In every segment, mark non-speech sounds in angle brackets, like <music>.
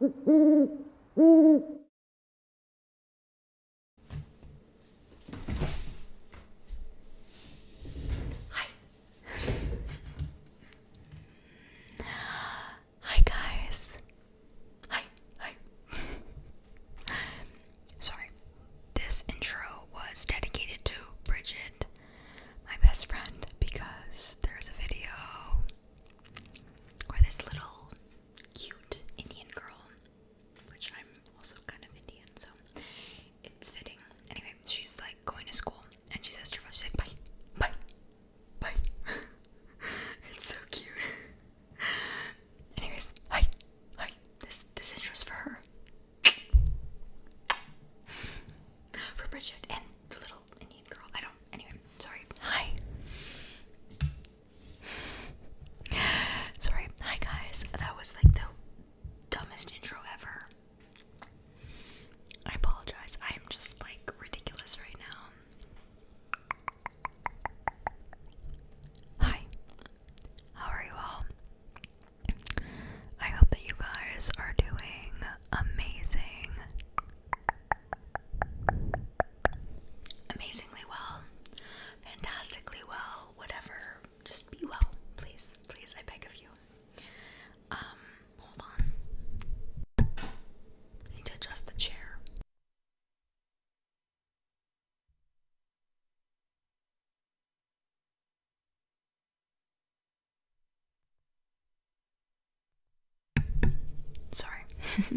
Hi. Hi guys. Hi. Hi. Sorry. This intro was dedicated to Bridget, my best friend, because there's a video or this little cute Indian girl, which I'm also kind of Indian, so it's fitting. Anyway, she's like going to school and she says to her father, she's like, bye, bye, bye. <laughs> it's so cute. <laughs> Anyways, hi, hi. This this interest for her. <laughs> for Bridget and the little Indian girl. I don't. Anyway, sorry. Hi. <sighs> sorry. Hi, guys. That was like the dumbest intro ever. I apologize. I am just like ridiculous right now. Hi. How are you all? I hope that you guys are doing amazing amazingly well, fantastically well, whatever. Just be well, please, please, I beg of you. Um, hold on. need to adjust the chair. Sorry.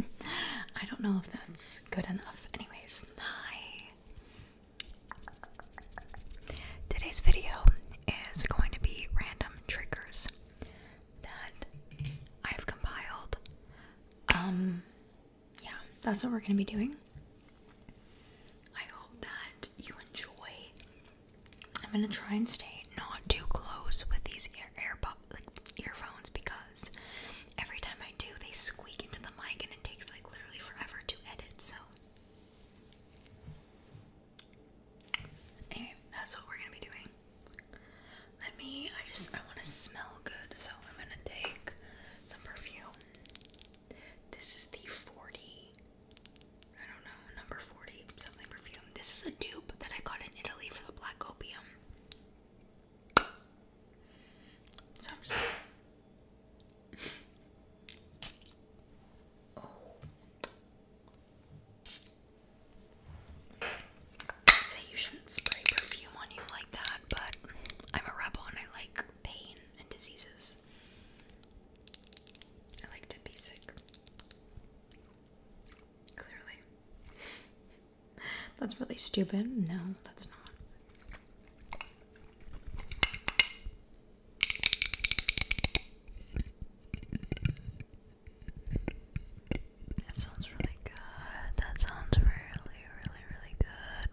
<laughs> I don't know if that's good enough. Anyways, hi. Today's video is going to be random triggers that I've compiled. Um yeah, that's what we're going to be doing. I hope that you enjoy. I'm going to try and stay not too close with these their earphones because every time I do, they squeak into the mic and it takes like literally forever to edit. So anyway, that's what we're gonna be doing. Let me. I just I want to smell good, so I'm gonna take some perfume. This is the 40. I don't know, number 40 something perfume. This is a dupe that I got in Italy for the Black Opium. I'm just I oh. say you shouldn't spray perfume on you like that, but I'm a rebel and I like pain and diseases. I like to be sick. Clearly. That's really stupid. No, that's not. That sounds really good. That sounds really, really, really good.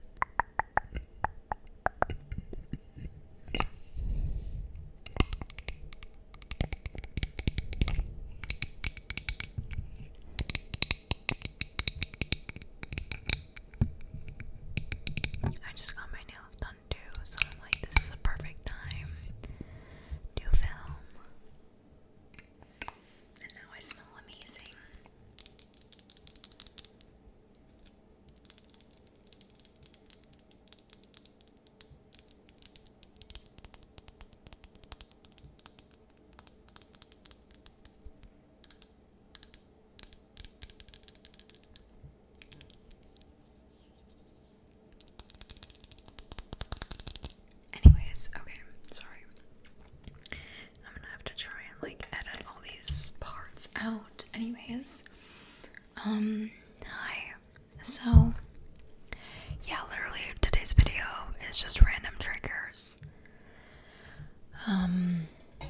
I just got my nails done too, so I'm like, this is a perfect time to film. And now I smell amazing. Anyways, okay, sorry. I'm gonna have to try and like edit all these parts out. Anyways, um, hi. So, yeah, literally today's video is just random triggers. Um, <gasps>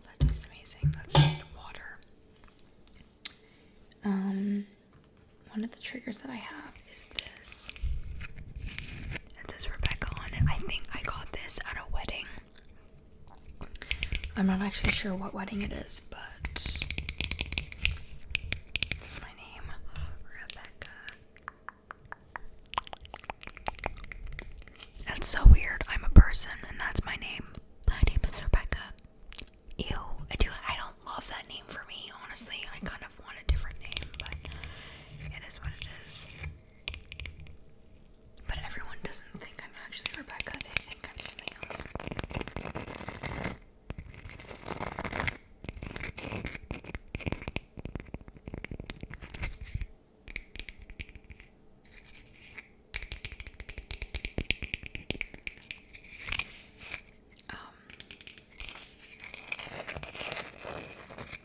amazing. That's just water. Um, one of the triggers that I have is this. It says Rebecca on it. I think I got this at a wedding. I'm not actually sure what wedding it is, but that's my name, Rebecca. That's so weird. I'm a person, and that's my name. My name is Rebecca. Ew, I do. I don't love that name for me, honestly. I kind of want a different name, but it is what it is. But everyone doesn't think I'm actually Rebecca, they think I'm something else. Um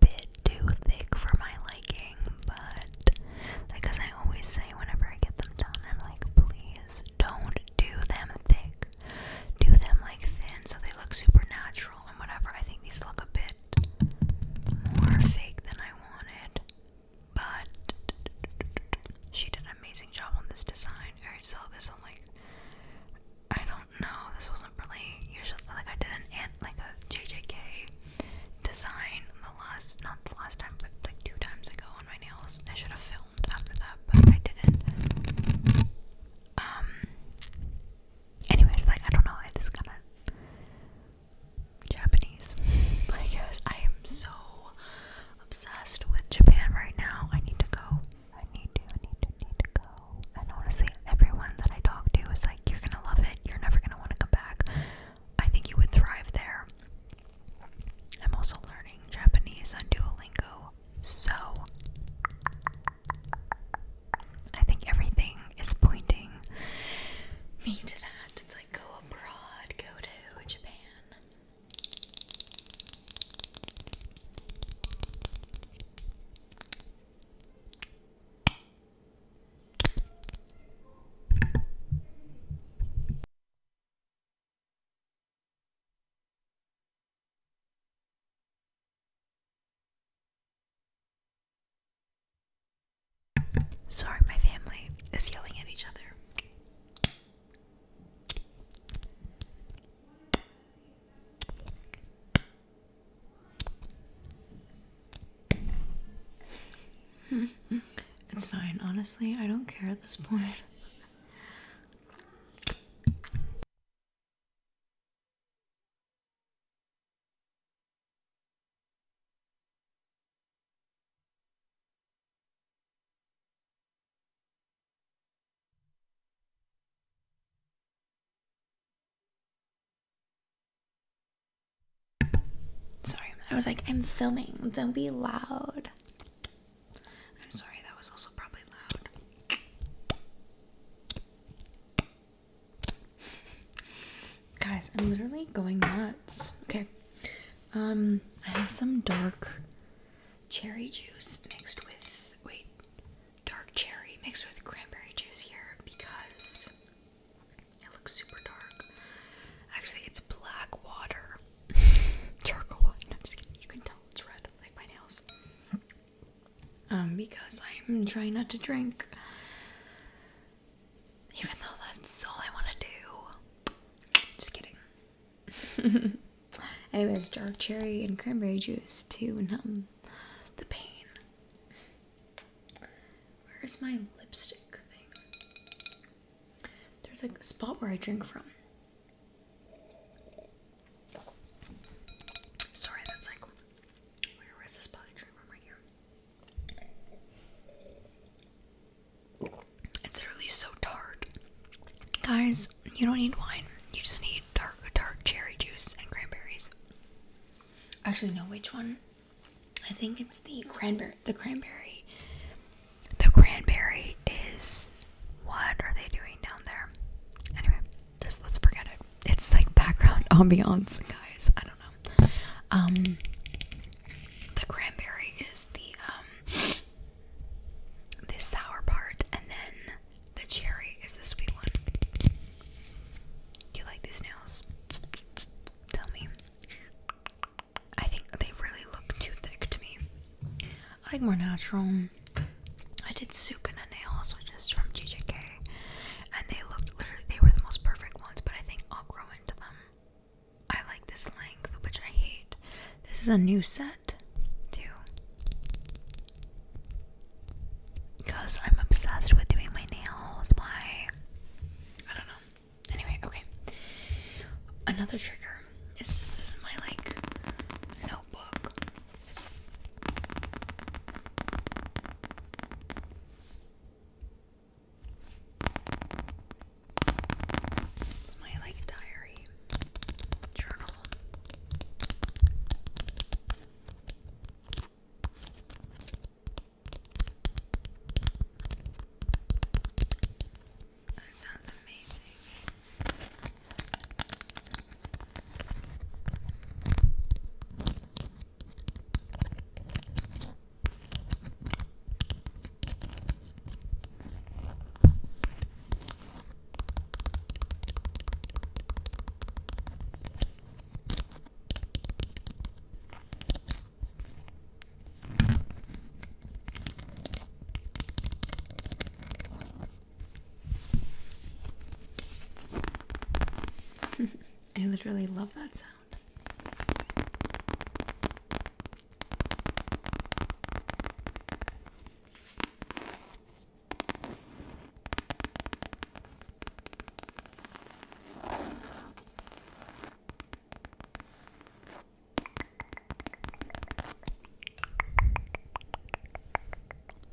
bit too thick for my liking, but like I always say whenever I get them done, I'm like, please don't do them thick. Do them like thin so they look super natural and whatever. I think these look a bit more fake than I wanted. But she did an amazing job on this design. I saw this on like I don't know. This wasn't really usually like I did an ant like a JJK design the last, not the last time, but like two times ago on my nails. I should have filmed after that, but I didn't. Um. Anyways, like I don't know, it's kind of Japanese. <laughs> I guess I am so obsessed with Japan right now. I need to go. I need to. I need to. Need to go. And honestly, everyone that I talk to is like, "You're gonna love it. You're never gonna want to come back." I think you would thrive there. I'm also learning Japanese on Duolingo, so I think everything is pointing me to that. It's like go abroad, go to Japan. Sorry, my family is yelling at each other. <laughs> it's fine, honestly, I don't care at this point. Sorry, I was like, I'm filming. Don't be loud. I'm sorry, that was also probably loud. Guys, I'm literally going nuts. Okay. Um, I have some dark cherry juice mixed with wait, dark cherry mixed with cranberry juice here because it looks super dark. Actually, it's black water. <laughs> Charcoal No, I'm just kidding. You can tell it's red, like my nails. Um, because I'm trying not to drink. Even though that's all I want to do. Just kidding. Anyways, <laughs> dark cherry and cranberry juice to numb the pain. Where is my lipstick thing? There's like a spot where I drink from. Sorry, that's like where was the spot I drink from right here? It's literally so tart. Guys, you don't need wine. You just need dark, dark cherry juice and cranberries. Actually, no, which one? I think it's the cranberry. The cranberry. The cranberry is what are they doing down there? Anyway, just let's forget it. It's like background <laughs> ambiance, guys. I don't know. Um, the cranberry is the um the sour part, and then the cherry is the sweet one. Do you like these nails? Tell me. I think they really look too thick to me. I like more natural. I did Sukuna nails, which is from GJK, and they looked literally, they were the most perfect ones, but I think I'll grow into them. I like this length, which I hate. This is a new set, too. Because I'm obsessed with doing my nails. Why? I don't know. Anyway, okay. Another trigger. It's just this is my like notebook. my like diary journal. That sounds amazing. <laughs> I literally love that sound.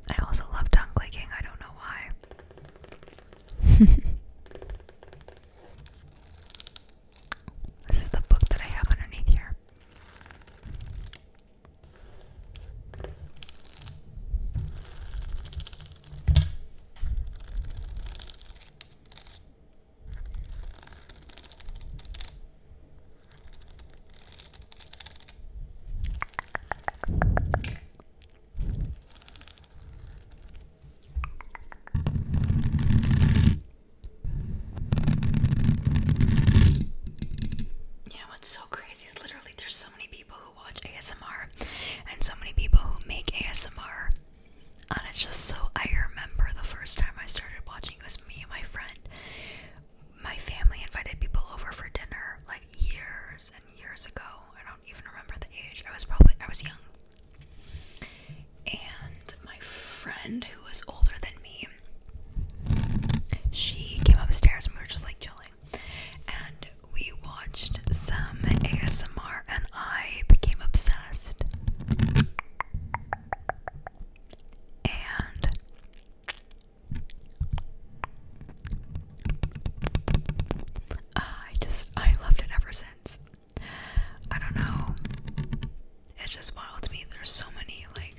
I also love tongue clicking, I don't know why. <laughs> this is the book that I have underneath here. You know what's so crazy is literally there's so many people who watch ASMR and so many people who make ASMR. And it's just so I remember the first time I started watching it was me and my friend. My family invited people over for dinner like years and years ago. I don't even remember the age. I was probably I was young. And my friend who was older than me, she came upstairs and we were just like chilling. And we watched some ASMR and I became obsessed. And I just, I loved it ever since. I don't know. It's just wild to me. There's so many, like,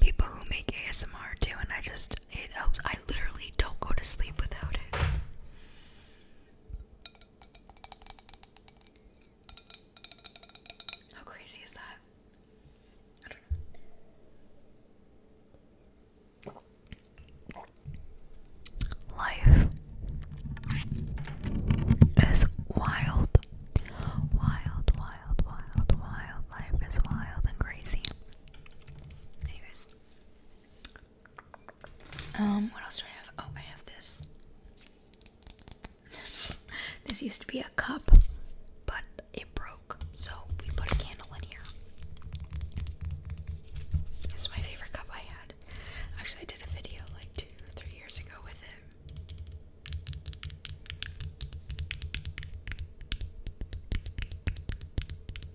people who make ASMR too, and I just, it helps. I literally don't go to sleep without it. How crazy is that? I don't know. Life is wild. Wild, wild, wild, wild. Life is wild and crazy. Anyways, um, what else do I have? Oh, I have this. <laughs> this used to be a cup, but it broke, so we put a candle in here. This is my favorite cup I had. Actually, I did a video like two, three years ago with it.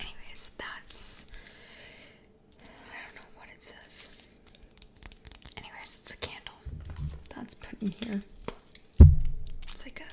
Anyways, that's I don't know what it says. Anyways, it's a candle that's put in here. It's like a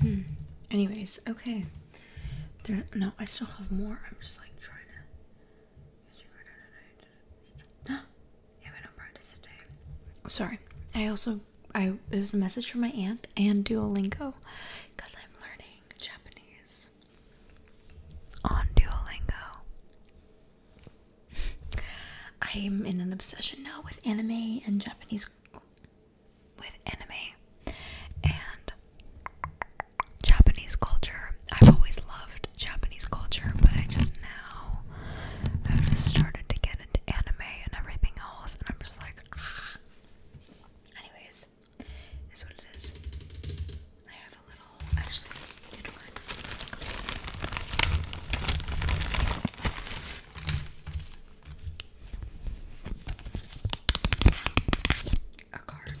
Hmm. Anyways, okay. no, I still have more. I'm just like trying to. <gasps> Sorry. I also I it was a message from my aunt and Duolingo because I'm learning Japanese on Duolingo. <laughs> I'm in an obsession now with anime and Japanese with anime and Japanese culture. I've always loved Japanese culture, but I just now I've just started to get into anime and everything else and I'm just like ah. <sighs> anyways is what it is. I have a little, actually, A card.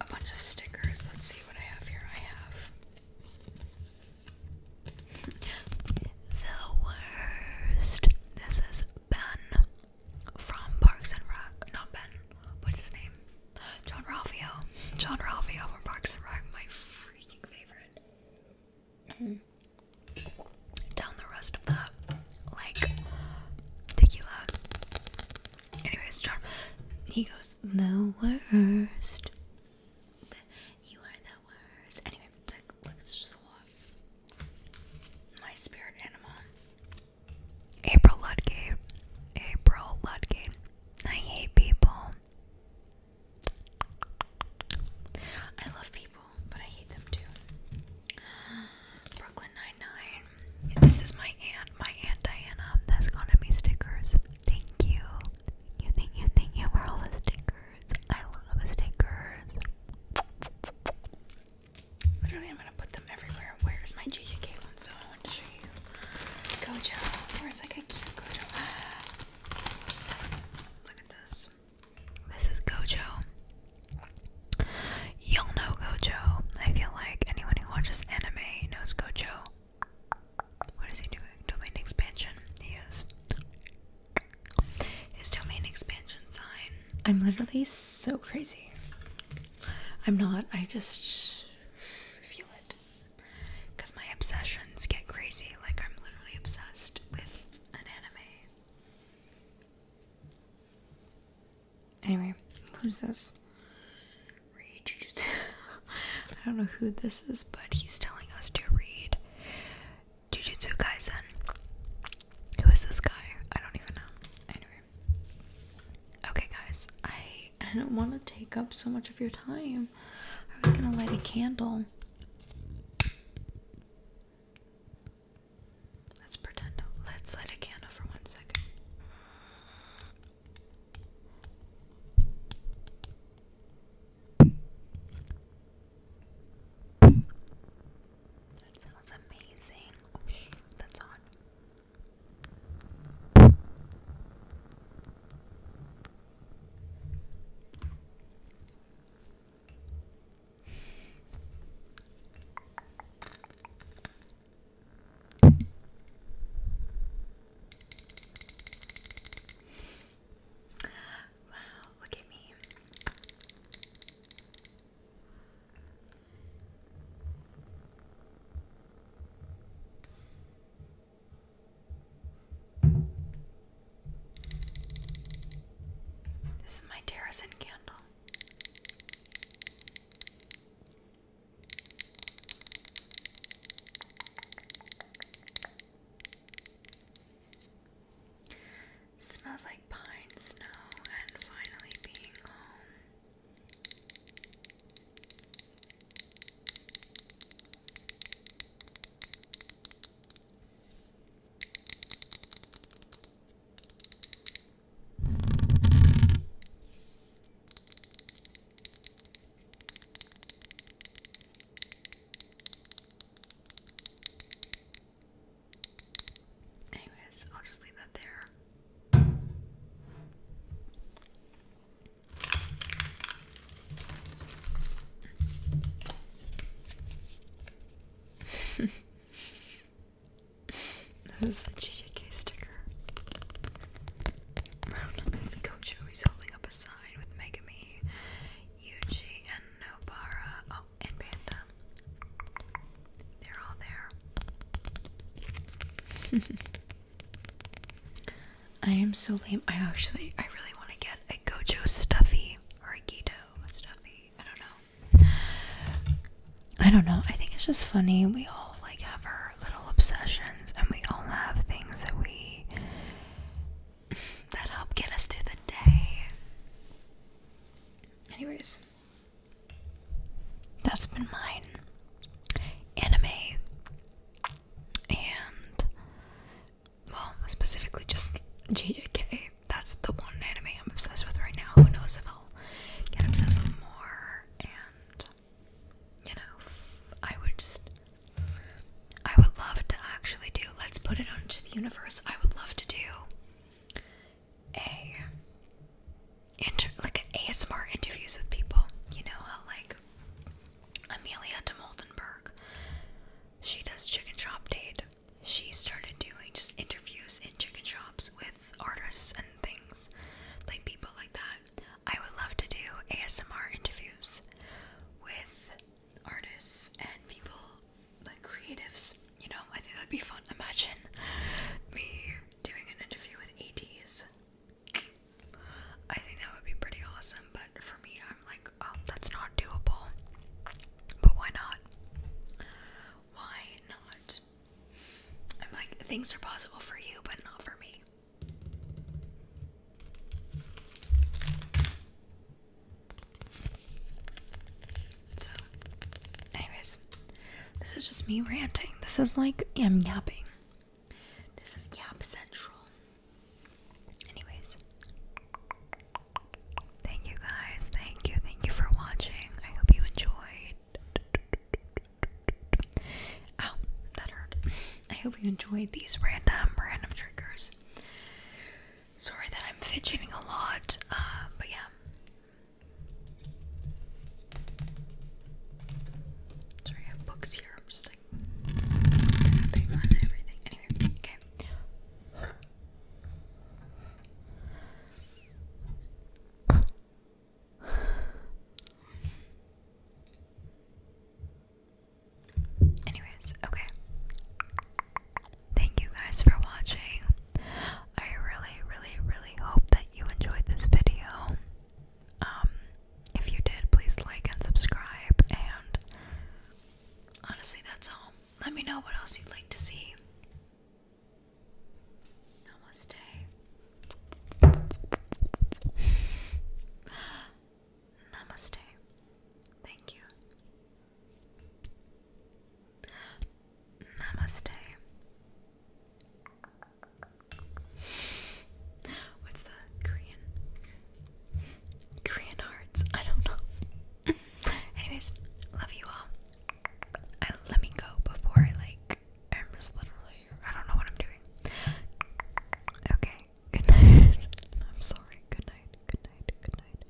A bunch of stickers. Let's see what I have here. I have. The worst. This is Ben from Parks and Rec, not Ben, what's his name? John Ralphio. John Ralphio from Parks and Rec, my freaking favorite. <clears throat> Down the rest of that, like tequila. Anyways, John, he goes, the worst. you are the worst. Anyway, let swap my spirit animal. April Ludgate. April Ludgate. I hate people. I love people, but I hate them too. Brooklyn Nine-Nine. This is my aunt, my aunt Diana. That's gonna be stickers. Thank you. You think you think you were all the stickers. I love stickers. Literally, I'm gonna put them everywhere. Where's my JJK ones though? I want to show you. Gojo. Where is like a cute Gojo. <gasps> Look at this. This is Gojo. Y'all know Gojo. I feel like anyone who watches anime knows Gojo. What is he doing? Domain expansion. He is. His domain expansion sign. I'm literally so crazy crazy. I'm not. I just feel it. Because my obsessions get crazy. Like, I'm literally obsessed with an anime. Anyway, who's this? Read Jujutsu. <laughs> I don't know who this is, but he's telling us to read Jujutsu Kaisen. Who is this guy? I don't even know. Anyway. Okay, guys, I, I don't want to take up so much of your time. I was gonna light a candle. Let's pretend. Let's light a candle for one second. That sounds amazing. that's on. Wow, look at me. This is my Terrasen candle. Smells like pine, snow, and finally being home. Anyways, I'll just leave that there. <laughs> this is a GJK sticker. I don't know, holding up a sign with Megami, Yuji, and Nobara. Oh, and Panda. They're all there. <laughs> I am so lame. I actually, I really want to get a Gojo stuffy or a Guido stuffy. I don't know. I don't know. I think it's just funny. We all like have our little obsessions, and we all have things that we <laughs> that help get us through the day. Anyways, that's been mine. Anime and well, specifically just JJK. That's the one anime I'm obsessed with right now. Who knows if I'll get obsessed with more and you know, I would just I would love to actually do let's put it onto the universe. I would love to do a inter like ASMR interviews with people. You know how like Amelia de Moldenberg, she does chicken shop date. She started doing just interviews in chicken shops with artists and things, like people like that. I would love to do ASMR interviews with artists and people like creatives, you know, I think that'd be fun. Imagine me doing an interview with ADs. I think that would be pretty awesome, but for me, I'm like, oh, that's not doable. But why not? Why not? I'm like, things are possible for you, but not for me. So, anyways, this is just me ranting. This is like I'm yapping. This is yap central. Anyways, thank you guys. Thank you. Thank you for watching. I hope you enjoyed. Ow, that hurt. I hope you enjoyed these random, random triggers. Sorry that I'm fidgeting a lot, uh, but yeah, Sorry, I have books here. I'm just like tapping on everything. Anyway, okay. Anyways, okay. Thank you guys for watching. I really, really, really hope that you enjoyed this video. Um, if you did, please like and subscribe. And honestly, that's all. Let me know what else you'd like to see. Namaste. Namaste. Thank you. Namaste. What's the Korean? Korean hearts. I don't know. <laughs> Anyways, love you all. let me go before I like. I'm just literally. I don't know what I'm doing. Okay. Good night. <laughs> I'm sorry. Good night. Good night. Good night.